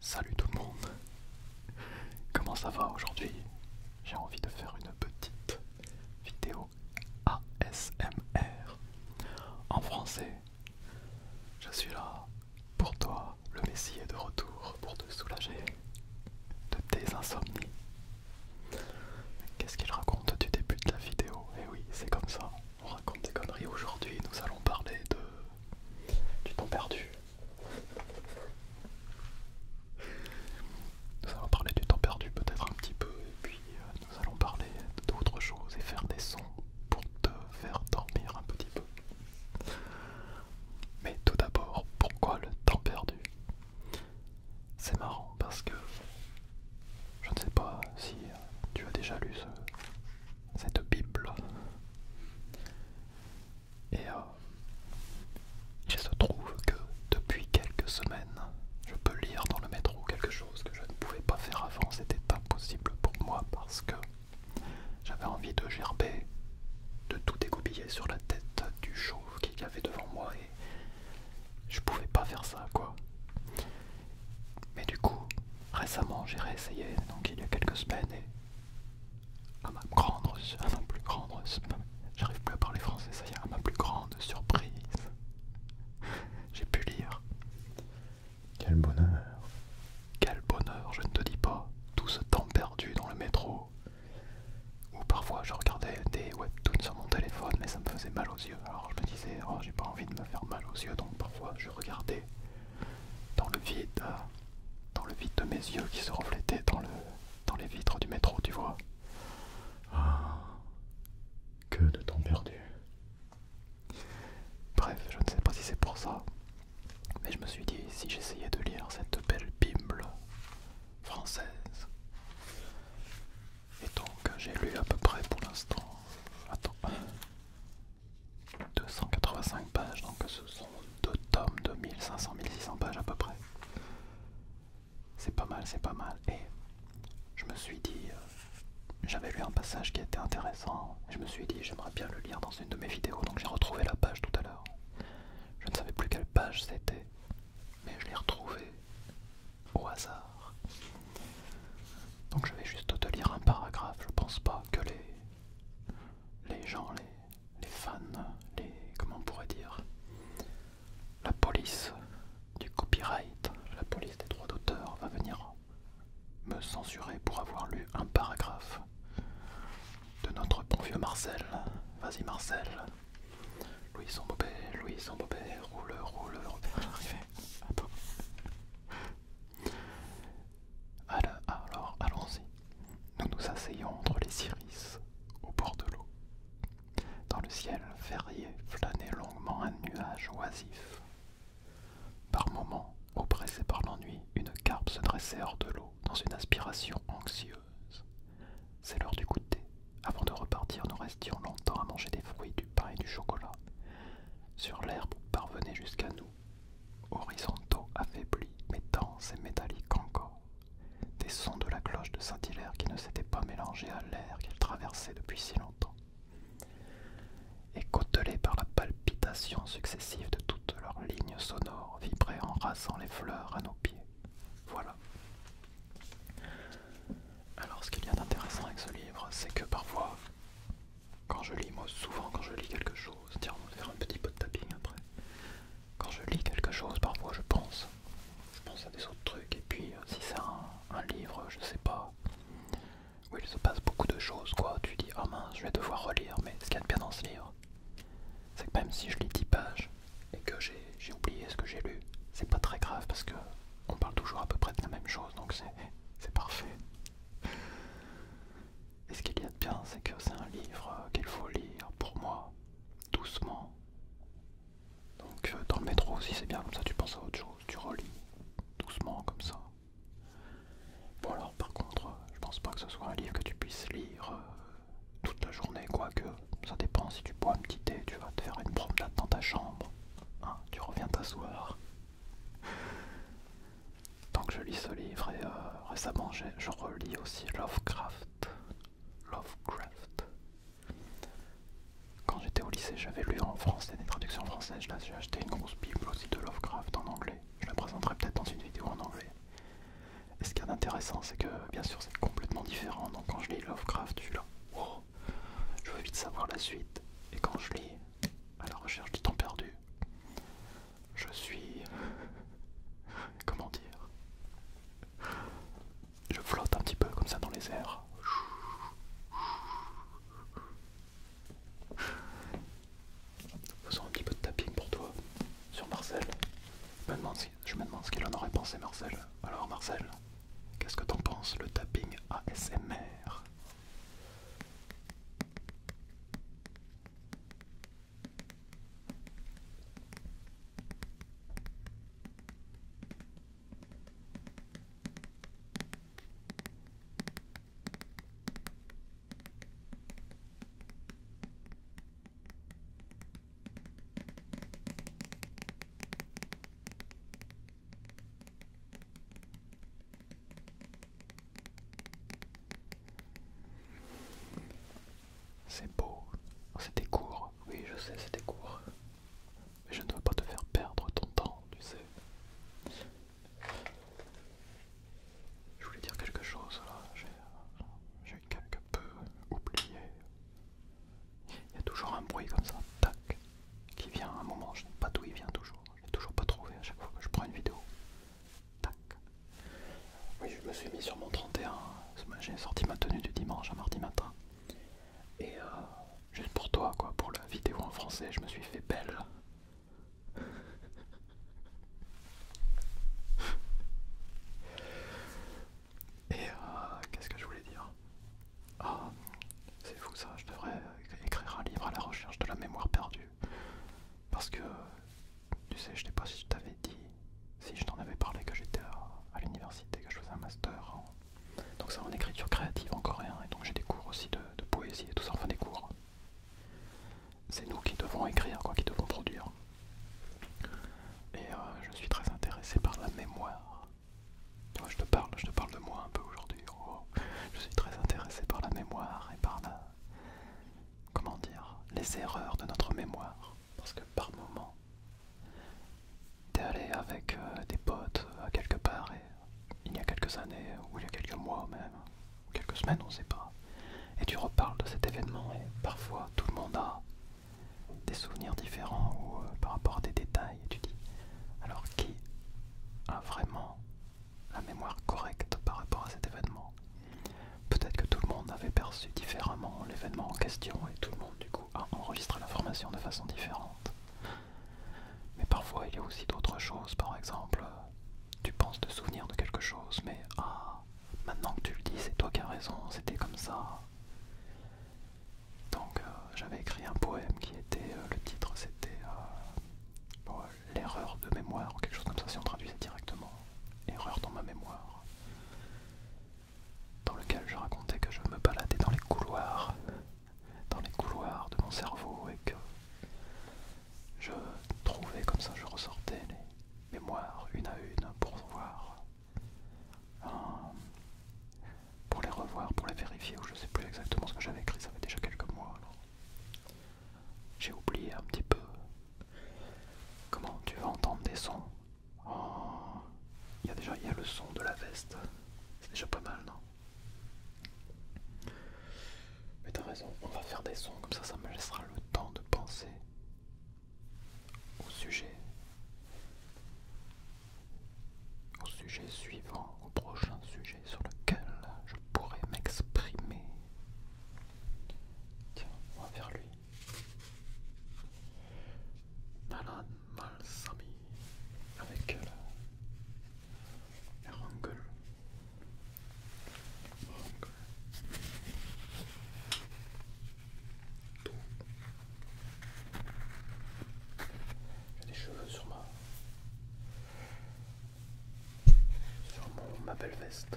Salut tout le monde Comment ça va aujourd'hui J'ai envie de faire une petite vidéo ASMR en français. Je suis là pour toi, le Messie est de retour pour te soulager de tes insomnies. Qu'est-ce qu'il raconte du début de la vidéo Eh oui, c'est comme ça, on raconte des conneries. Aujourd'hui, nous allons parler de... du temps perdu. Nous allons parler du temps perdu peut-être un petit peu, et puis euh, nous allons parler d'autres choses et faire des sons pour te faire dormir un petit peu. Mais tout d'abord, pourquoi le temps perdu C'est marrant parce que je ne sais pas si euh, tu as déjà lu cette Bible. Et euh, il se trouve que depuis quelques semaines, je peux lire dans le métro quelque chose que je ne pouvais pas faire avant. C'était impossible pour moi parce que j'avais envie de gerber de tout dégoubiller sur la tête du chauve qu'il y avait devant moi et je pouvais pas faire ça quoi. Mais du coup, récemment j'ai réessayé, donc il y a quelques semaines et à ma grande, plus grande, j'arrive plus à parler français, ça y est, à ma plus grande surprise, j'ai pu lire. Quel bonheur, quel bonheur, je ne te dis pas, tout ce temps perdu dans le métro, ou parfois je regardais des webtoons sur mon téléphone mais ça me faisait mal aux yeux. Alors je me disais, oh, j'ai pas envie de me faire mal aux yeux donc parfois je regardais dans le vide, euh, dans le vide de mes yeux qui se reflétaient dans, le, dans les vitres du métro, tu vois. Ah, que de temps perdu. Bref, je ne sais pas si c'est pour ça, mais je me suis dit, si j'essayais de lire cette belle Bible française, et donc j'ai lu à peu près pour l'instant, 285 pages, donc ce sont deux tomes de 1500-1600 pages à peu près. C'est pas mal, c'est pas mal. Et je me suis dit, euh, j'avais lu un passage qui était intéressant, je me suis dit, j'aimerais bien le lire dans une de mes vidéos, donc j'ai retrouvé la page tout à l'heure. Je ne savais plus quelle page c'était, mais je l'ai retrouvée au hasard. Donc je vais juste te lire un paragraphe. Je ne pense pas que les, les gens, les, les fans, les comment on pourrait dire, la police du copyright, la police des droits d'auteur va venir me censurer pour avoir lu un paragraphe de notre bon vieux Marcel. Vas-y Marcel. Louis son bobet, Louis son bobet, roule, roule, roule. Alors, allons-y. Nous nous asseyons entre les iris au bord de l'eau. Dans le ciel ferrier, flânait longuement un nuage oisif. Par moments, oppressé par l'ennui, une carpe se dressait hors de l'eau dans une aspiration anxieuse. C'est l'heure du goûter. Avant de repartir, nous restions longtemps à manger des fruits, du pain et du chocolat. Sur l'herbe parvenait jusqu'à nous, horizontaux, affaiblis, mais denses et métalliques encore, des sons de la cloche de Saint-Hilaire qui ne s'étaient pas mélangés à l'air qu'elle traversait depuis si longtemps. Et par la palpitation successive de toutes leurs lignes sonores, vibrer en rasant les fleurs à nos pieds. Voilà. Alors ce qu'il y a d'intéressant avec ce livre, c'est que parfois, quand je lis, moi souvent quand je lis quelque chose, tiens on va faire un petit peu de tapping après, quand je lis quelque chose, parfois je pense, je pense à des autres trucs, et puis euh, si c'est un, livre, je sais pas, où il se passe beaucoup de choses, quoi, tu dis ah mince, je vais devoir relire, mais ce qu'il y a de bien dans ce livre, c'est que même si je lis 10 pages et que j'ai oublié ce que j'ai lu, c'est pas très grave parce que on parle toujours à peu près de la même chose, donc c'est parfait. Et ce qu'il y a de bien, c'est que c'est un livre qu'il faut lire pour moi, doucement. Donc euh, dans le métro aussi, c'est bien comme ça, tu penses à autre chose, tu relis doucement comme ça. Bon alors par contre, euh, je pense pas que ce soit un livre que tu puisses lire euh, toute la journée, quoique ça dépend si tu bois un petit thé, tu vas te faire une promenade dans ta chambre, hein, tu reviens t'asseoir. Donc je lis ce livre et euh, récemment récemment je relis aussi Lovecraft. Lovecraft. Quand j'étais au lycée, j'avais lu en français des traductions françaises. Là, j'ai acheté une grosse bible aussi de Lovecraft en anglais. Je la présenterai peut-être dans une vidéo en anglais. Et ce qu'il y a d'intéressant, c'est que bien sûr c'est complètement différent. Donc quand je lis Lovecraft, je suis là, je veux vite savoir la suite. Et quand je lis À la recherche du temps perdu, je suis. Comment dire Je flotte un petit peu comme ça dans les airs. Faisons un petit peu de tapping pour toi sur Marcel. Je me demande, je ce qu'il en aurait pensé Marcel. Alors Marcel, qu'est-ce que t'en penses le tapping ASMR c'est beau, c'était court, oui je sais c'était court, mais je ne veux pas te faire perdre ton temps, tu sais. Je voulais dire quelque chose là, euh, j'ai quelque peu oublié. Il y a toujours un bruit comme ça, tac, qui vient à un moment, je ne sais pas d'où il vient toujours, je n'ai toujours pas trouvé à chaque fois que je prends une vidéo. Tac. Oui, je me suis mis sur mon 31, j'ai sorti ma tenue du dimanche à mardi matin. Et euh, juste pour toi, quoi, pour la vidéo en français, je me suis fait belle. Et euh, qu'est-ce que je voulais dire Ah, c'est fou ça, je devrais euh, écrire un livre à la recherche de la mémoire perdue. Parce que, tu sais, je sais pas si je t'avais dit, si je t'en avais parlé que j'étais à, l'université, que je faisais un master. En... Donc c'est en écriture créative en coréen, et donc j'ai des cours aussi de, de poésie et tout ça, enfin des cours c'est nous qui devons écrire, quoi, qui devons produire. Et euh, je suis très intéressé par la mémoire. je te parle, je te parle de moi un peu aujourd'hui. Je suis très intéressé par la mémoire et par la... Comment dire Les erreurs de notre mémoire. Parce que par moment, t'es allé avec euh, des potes euh, à quelque part il y a quelques années, ou il y a quelques mois même, quelques semaines, on ne sait pas. Et tu reparles de cet événement et parfois tout le monde a des souvenirs différents ou euh, par rapport à des détails. Et tu dis, alors qui a vraiment la mémoire correcte par rapport à cet événement Peut-être que tout le monde avait perçu différemment l'événement en question et tout le monde du coup a enregistré l'information de façon différente. Mais parfois il y a aussi d'autres choses, par exemple euh, tu penses te souvenir de quelque chose, mais ah, maintenant que tu le dis, c'est toi qui as raison, c'était comme ça. Donc euh, j'avais écrit un poème qui était, euh, le titre c'était euh, l'erreur de mémoire, ou quelque chose comme ça si on traduisait directement, erreur dans ma mémoire, dans lequel je racontais que je me baladais dans les couloirs, dans les couloirs de mon cerveau et que je trouvais comme ça, je ressortais les mémoires une à une pour voir, euh, pour les revoir, pour les vérifier, ou je sais plus exactement ce que j'avais écrit, ça fait déjà quelques mois. J'ai oublié un petit peu comment tu vas entendre des sons. Oh, il y a déjà le son de la veste, c'est déjà pas mal, non mais t'as raison, on va faire des sons, comme ça ça me laissera le temps de penser au sujet. Au sujet suivant, au prochain sujet sur lequel je pourrais m'exprimer. Tiens, on va vers lui. Nalan Malsami, avec elle. Euh, la rancune. J'ai des cheveux sur ma... sur mon, ma belle veste.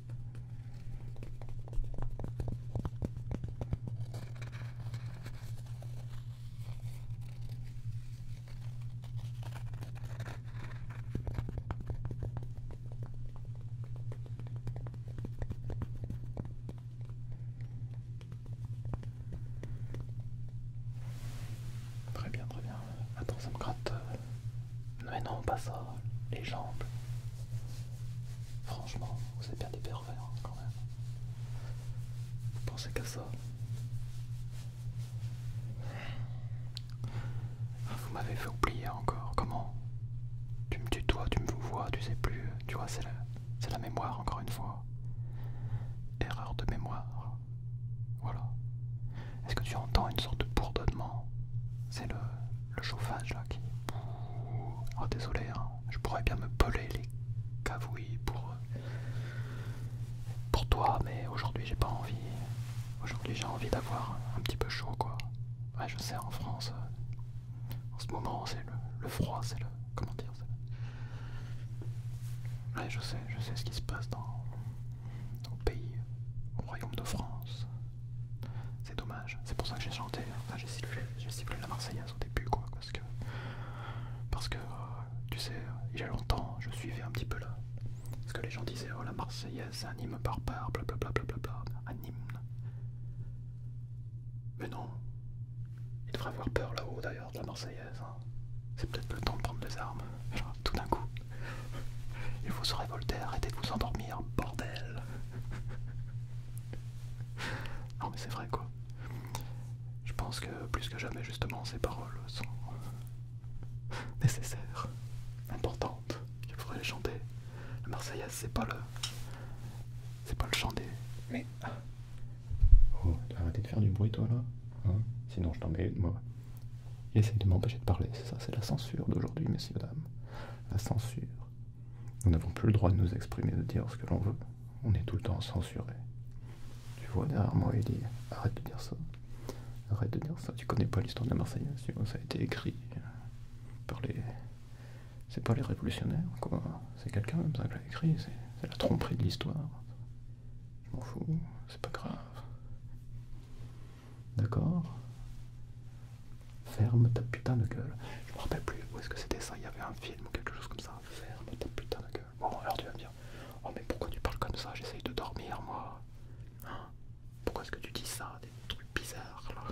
Très bien, très bien. Attends, ça me gratte euh, mais non, pas ça. Les jambes. Franchement, vous êtes bien des pervers hein, quand même. Vous pensez qu'à ça ah, Vous m'avez fait oublier encore. Comment Tu me tutoies, tu me vois, tu sais plus. Tu vois, c'est la, la mémoire encore une fois. Erreur de mémoire. Voilà. Est-ce que tu entends une sorte de bourdonnement C'est le, chauffage là qui. Oh désolé, hein. je pourrais bien me peler les cavouilles pour, pour toi, mais aujourd'hui j'ai pas envie. Aujourd'hui j'ai envie d'avoir un petit peu chaud quoi. Ouais je sais en France, euh, en ce moment c'est le, le froid, c'est le. comment dire Ouais je sais, je sais ce qui se passe dans, au pays, au royaume de France. C'est dommage, c'est pour ça que j'ai chanté, enfin, j'ai sifflé, la Marseillaise au début, quoi, parce que, parce que, euh, tu sais, il y a longtemps, je suivais un petit peu là, parce que les gens disaient, oh la Marseillaise, c'est par hymne barbare, blablabla, bla, un hymne. Mais non, il devrait avoir peur là-haut d'ailleurs de la Marseillaise. Hein. C'est peut-être le temps de prendre des armes tout d'un coup. Il faut se révolter, arrêtez de vous endormir, bordel Non mais c'est vrai quoi. Je pense que plus que jamais justement ces paroles sont nécessaires, importantes, qu'il faudrait les chanter. La Marseillaise c'est pas le... c'est pas le chant des... Mais... Oh, arrêtez de faire du bruit toi là, hein Sinon je t'en mets moi. Il essaie de m'empêcher de parler, c'est ça, c'est la censure d'aujourd'hui, messieurs, dames. La censure. Nous n'avons plus le droit de nous exprimer, de dire ce que l'on veut. On est tout le temps censuré. Tu vois derrière moi, il dit Arrête de dire ça. Arrête de dire ça. Tu connais pas l'histoire de la Marseillaise, tu vois, ça a été écrit par les. C'est pas les révolutionnaires, quoi. C'est quelqu'un comme ça qui l'a écrit, c'est la tromperie de l'histoire. Je m'en fous, c'est pas grave. D'accord Ferme ta putain de gueule. Je me rappelle plus où est-ce que c'était ça, il y avait un film ou quelque chose comme ça. Ferme ta putain de gueule. Bon, alors tu vas me dire, oh mais pourquoi tu parles comme ça J'essaye de dormir moi. Hein? pourquoi est-ce que tu dis ça Des trucs bizarres là.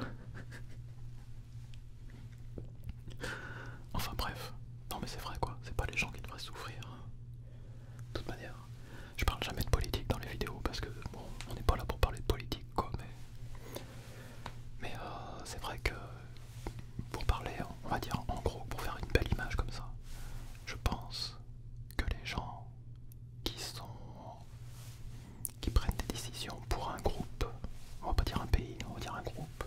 enfin bref. Non mais c'est vrai quoi, c'est pas les gens qui devraient souffrir. Hein. De toute manière, je parle jamais de politique dans les vidéos parce que bon, on n'est pas là pour parler de politique quoi, mais, mais euh, c'est vrai que pour parler, on va dire en gros, pour faire une belle image comme ça, je pense que les gens qui sont qui prennent des décisions pour un groupe, on va pas dire un pays, on va dire un groupe,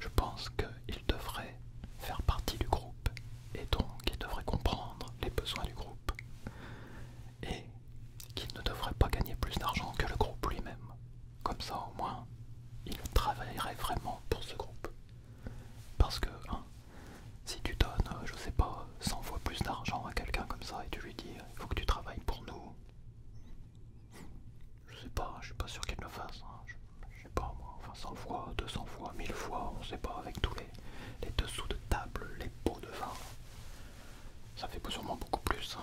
je pense qu'ils devraient faire partie du groupe et donc il devrait comprendre les besoins du groupe et qu'il ne devrait pas gagner plus d'argent que le groupe lui-même. Comme ça au moins, il travaillerait vraiment pour ce groupe. Parce que, hein, si tu donnes, euh, je sais pas, 100 fois plus d'argent à quelqu'un comme ça et tu lui dis euh, il faut que tu travailles pour nous, je sais pas, je suis pas sûr qu'il le fasse. Hein, je sais pas moi, enfin 100 fois, 200 fois, 1000 fois, on sait pas, avec tous les, les dessous de table, les pots de vin. Ça fait sûrement beaucoup plus. Hein.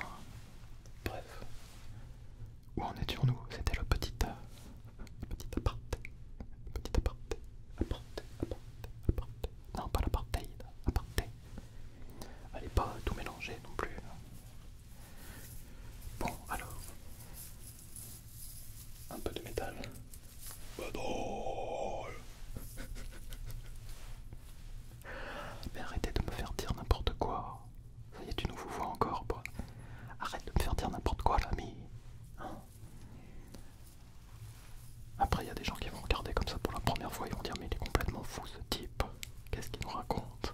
Bref. Où en étions-nous C'était le petit, euh, petit aparté. Petit aparté. Aparté, aparté, aparté. Non, pas l'apartheid. Aparté. Allez pas tout mélanger non plus. Hein. Bon, alors, un peu de métal. Mais arrêtez de me faire dire n'importe quoi. Ça y est, tu nous vois encore, quoi. Arrête de me faire dire n'importe quoi, l'ami. Hein Après, il y a des gens qui vont regarder comme ça pour la première fois et vont dire Mais il est complètement fou ce type. Qu'est-ce qu'il nous raconte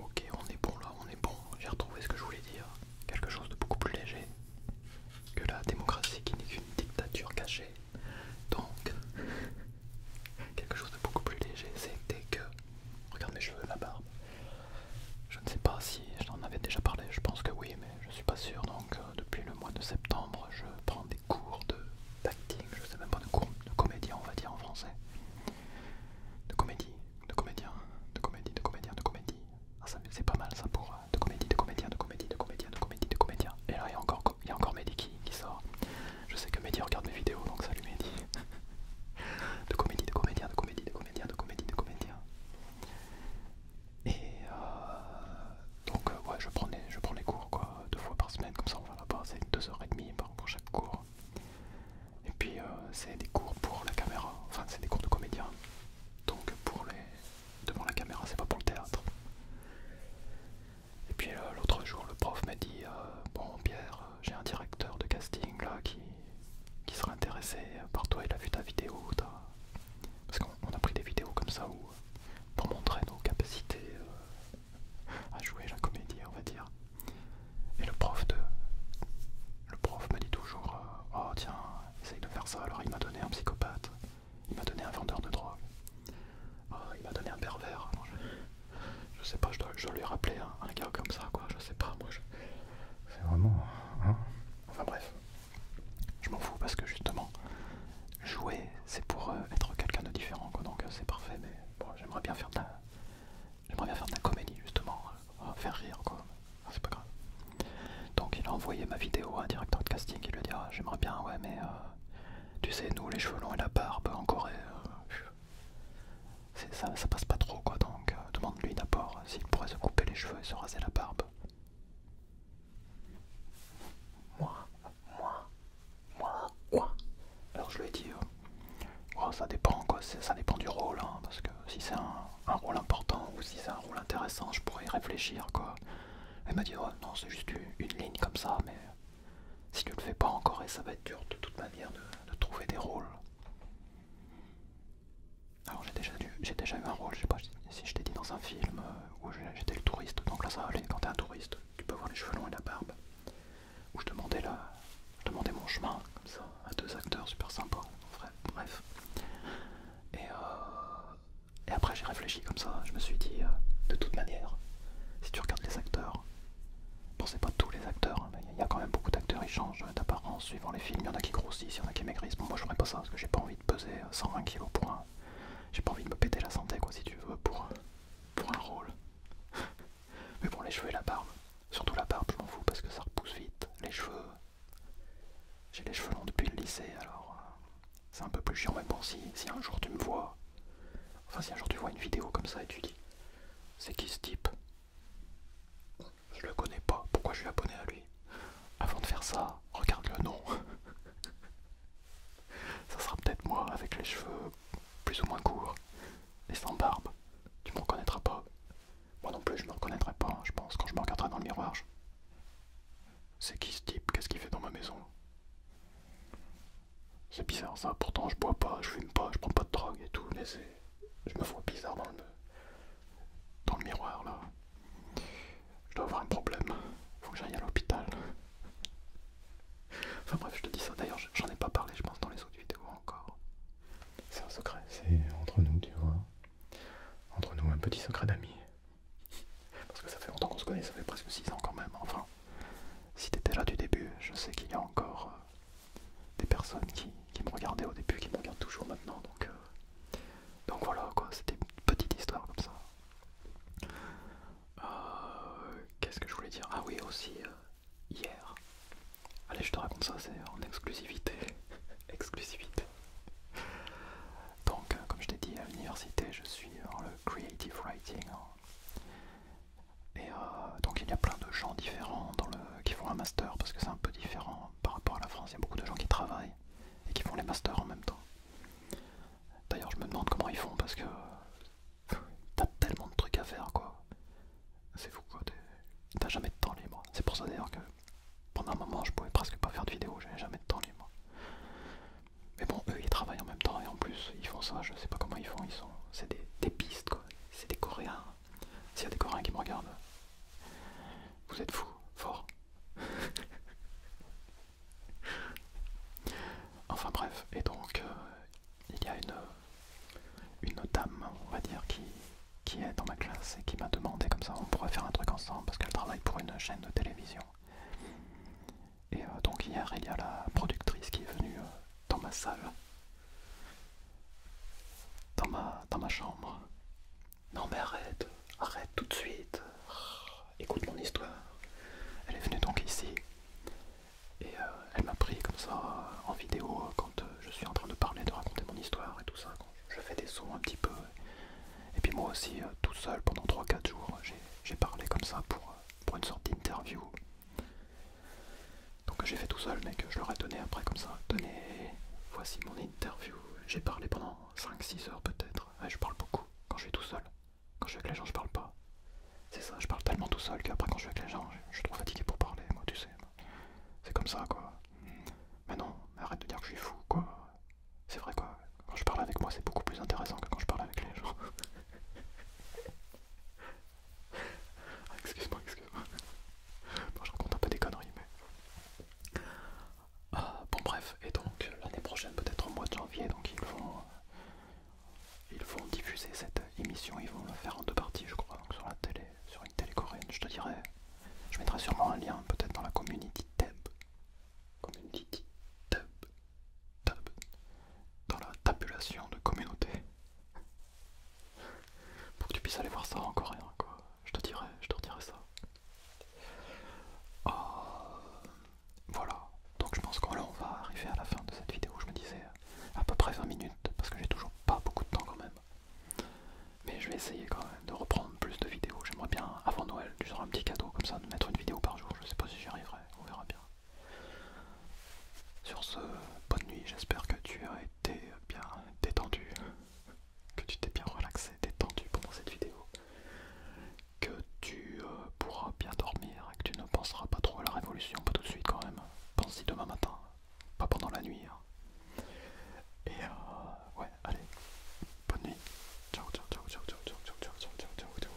Ok, on est bon là, on est bon. J'ai retrouvé ce que je voulais dire. Quelque chose de beaucoup plus léger que la démocratie qui n'est qu'une dictature cachée. Donc, quelque chose de beaucoup plus léger, c'était que Regarde mes cheveux, la barbe. Je ne sais pas si j'en avais déjà parlé, je pense que oui, mais je suis pas sûr. Donc euh, depuis le mois de septembre, je prends des cours de d'acting, je sais même pas de cours de comédien, on va dire en français. De comédie, de comédien, de comédie, de comédien, de comédie. Ah, c'est pas mal ça pour euh, de comédie, de comédien, de comédie, de comédien, de comédie, de comédien. Et là, il y a encore, Mehdi qui, qui sort. Je sais que Mehdi regarde mes vidéos, donc salut Mehdi. de comédie, de comédien, de comédie, de comédien, de comédie, de comédien. Et euh, donc, euh, ouais, je prends, les, je cours quoi, deux fois par semaine, comme ça on va là-bas, c'est heures et demie pour chaque cours. Et puis, euh, c'est des cours pour la caméra, enfin, c'est des cours de comédien. Donc, pour les devant la caméra, c'est pas pour le théâtre. Et puis l'autre jour, le prof m'a dit Bon, Pierre, j'ai un directeur de casting là qui qui sera intéressé par toi, il a vu ta vidéo, parce qu'on a pris des vidéos comme ça où, pour montrer nos capacités euh, à jouer la comédie, on va dire. Et le prof de, le prof m'a dit toujours, euh, oh tiens, essaye de faire ça. Alors il m'a donné un psychopathe, il m'a donné un vendeur de drogue, oh, il m'a donné un pervers. Je sais pas, je dois, je lui rappeler un, gars comme ça, quoi. Je sais pas, moi, je... c'est vraiment. Hein enfin bref, je m'en fous parce que justement, jouer, c'est pour euh, être quelqu'un de différent, quoi. Donc euh, c'est parfait, mais bon, j'aimerais bien faire de la, j'aimerais bien faire la comédie, justement, euh, faire rire, quoi. Ah, c'est pas grave. Donc il a envoyé ma vidéo à un directeur de casting. Il lui a dit, ah, j'aimerais bien, ouais, mais tu sais, nous, les cheveux longs et la barbe en Corée. Ça, passe pas trop quoi, donc euh, demande-lui d'abord euh, s'il pourrait se couper les cheveux et se raser la barbe. Moi, moi, moi, quoi Alors je lui ai dit, euh, oh, ça dépend quoi, ça dépend du rôle, hein, parce que si c'est un, rôle important ou si c'est un rôle intéressant, je pourrais y réfléchir quoi. Elle m'a dit, oh, non, c'est juste une, ligne comme ça, mais si tu le fais pas encore, et ça va être dur de toute manière de trouver des rôles alors ah j'ai déjà, eu un rôle, je sais pas si je t'ai dit dans un film euh, où j'étais le touriste, donc là ça aller, quand t'es un touriste, tu peux voir les cheveux longs et la barbe, où je demandais, mon chemin, comme ça, à deux acteurs super sympas, bref. Et, euh, et après j'ai réfléchi comme ça, je me suis dit, euh, de toute manière, si tu regardes les acteurs, Bon, c'est pas tous les acteurs, hein, il y a quand même beaucoup d'acteurs, qui changent d'apparence suivant les films, il y en a qui grossissent, il y en a qui maigrissent. Bon, moi je pas ça parce que j'ai pas envie de peser 120 kg pour un. J'ai pas envie de me péter la santé, quoi, si tu veux, pour, pour un rôle. Mais bon, les cheveux et la barbe, surtout la barbe, je m'en fous parce que ça repousse vite. Les cheveux, j'ai les cheveux longs depuis le lycée, alors euh, c'est un peu plus chiant. Mais bon, si, si un jour tu me vois, enfin, si un jour tu vois une vidéo comme ça et tu dis, c'est qui ce type je le connais pas, pourquoi je suis abonné à lui Avant de faire ça, regarde le nom. ça sera peut-être moi avec les cheveux plus ou moins courts et sans barbe. Tu me reconnaîtras pas. Moi non plus, je me reconnaîtrai pas, hein, je pense, quand je me regarderai dans le miroir. C'est qui ce type Qu'est-ce qu'il fait dans ma maison c'est bizarre ça, pourtant je bois pas, je fume pas, je prends pas de drogue et tout, mais c'est. Je me vois bizarre dans le, dans le miroir là. Je dois avoir un problème, faut que j'aille à l'hôpital. Enfin bref, je te dis ça, d'ailleurs j'en ai pas parlé, je pense, dans les autres vidéos encore. C'est un secret, c'est entre nous, tu vois. Entre nous, un petit secret d'amis. Parce que ça fait longtemps qu'on se connaît, ça fait presque 6 ans quand même, enfin. Si t'étais là du début, je sais qu'il y a encore euh, des personnes qui, qui me regardaient au début, qui me regardent toujours maintenant. Donc, euh, donc voilà, quoi, c'était une petite histoire comme ça. Euh, qu'est-ce que je voulais dire Ah oui, aussi, euh, hier. Allez, je te raconte ça, c'est en exclusivité. exclusivité. Donc, comme je t'ai dit, à l'université, je suis en le creative writing. Hein. Et euh, donc il y a plein de gens différents qui font un master parce que c'est un peu différent par rapport à la France. Il y a beaucoup de gens qui travaillent et qui font les masters en même temps. D'ailleurs je me demande comment ils font parce que t'as tellement de trucs à faire quoi. C'est fou quoi, t'as jamais de temps libre. C'est pour ça d'ailleurs que pendant un moment je pouvais presque pas faire de vidéo, j'avais jamais de temps libre. Mais bon eux ils travaillent en même temps et en plus ils font ça, je sais pas comment ils font, ils sont. c'est des, des pistes quoi. C'est des Coréens. S'il y a des Coréens qui me regardent, vous êtes fous, fort. enfin bref, et donc euh, il y a une, dame, on va dire, qui, est dans ma classe et qui m'a demandé comme ça, on pourrait faire un truc ensemble parce qu'elle travaille pour une chaîne de télévision. Et euh, donc hier, il y a la productrice qui est venue euh, dans ma salle dans ma, dans ma chambre. Non mais arrête, arrête tout de suite. Écoute mon histoire. Elle est venue donc ici et euh, elle m'a pris comme ça en vidéo quand euh, je suis en train de parler, de raconter mon histoire et tout ça. je fais des sons un petit peu. Et puis moi aussi, euh, tout seul pendant 3-4 jours, j'ai parlé comme ça pour, pour une sorte d'interview donc j'ai fait tout seul, mais que je leur ai donné après comme ça. Tenez, voici mon interview. J'ai parlé pendant 5-6 heures peut-être. je parle beaucoup quand je suis tout seul. Quand je suis avec les gens, je parle pas. C'est ça, je parle tellement tout seul qu'après quand je suis avec les gens, je, je suis trop fatigué pour parler, moi tu sais. C'est comme ça quoi. Mais non, arrête de dire que je suis fou quoi. C'est vrai quoi. Quand je parle avec moi, c'est beaucoup plus intéressant que quand je parle avec les gens. Ah, excuse-moi, excuse-moi. je raconte un peu des conneries, mais. Ah, bon, bref, et donc l'année prochaine, peut-être au mois de janvier, donc ils vont. Euh, ils vont diffuser cette émission, ils vont le faire en deux parties, je crois, sur la télé, sur une télé coréenne, je te dirais. Je mettrai sûrement un lien, peut-être dans la community tab. Community tab dans la tabulation de communauté. Pour que tu puisses aller voir ça en coréen, quoi. Je te dirai, je te redirai ça. Euh, voilà, donc je pense qu'on va arriver à la fin de cette vidéo. Je me disais à peu près 20 minutes, parce que j'ai toujours pas beaucoup de temps quand même. Mais je vais essayer quand même de reprendre plus de vidéos. J'aimerais bien, avant Noël, tu auras un petit cadeau comme ça, de mettre une vidéo par jour. Je sais pas si j'y arriverai, on verra bien. Sur ce, bonne nuit, j'espère que tu as été bien détendu, que tu t'es bien relaxé, détendu pendant cette vidéo, que tu euh, pourras bien dormir et que tu ne penseras pas trop à la révolution, pas tout de suite quand même, pense-y demain matin, pas pendant la nuit. Hein. Et euh, ouais, allez, bonne nuit, ciao, ciao, ciao, ciao, ciao, ciao, ciao, ciao, ciao, ciao.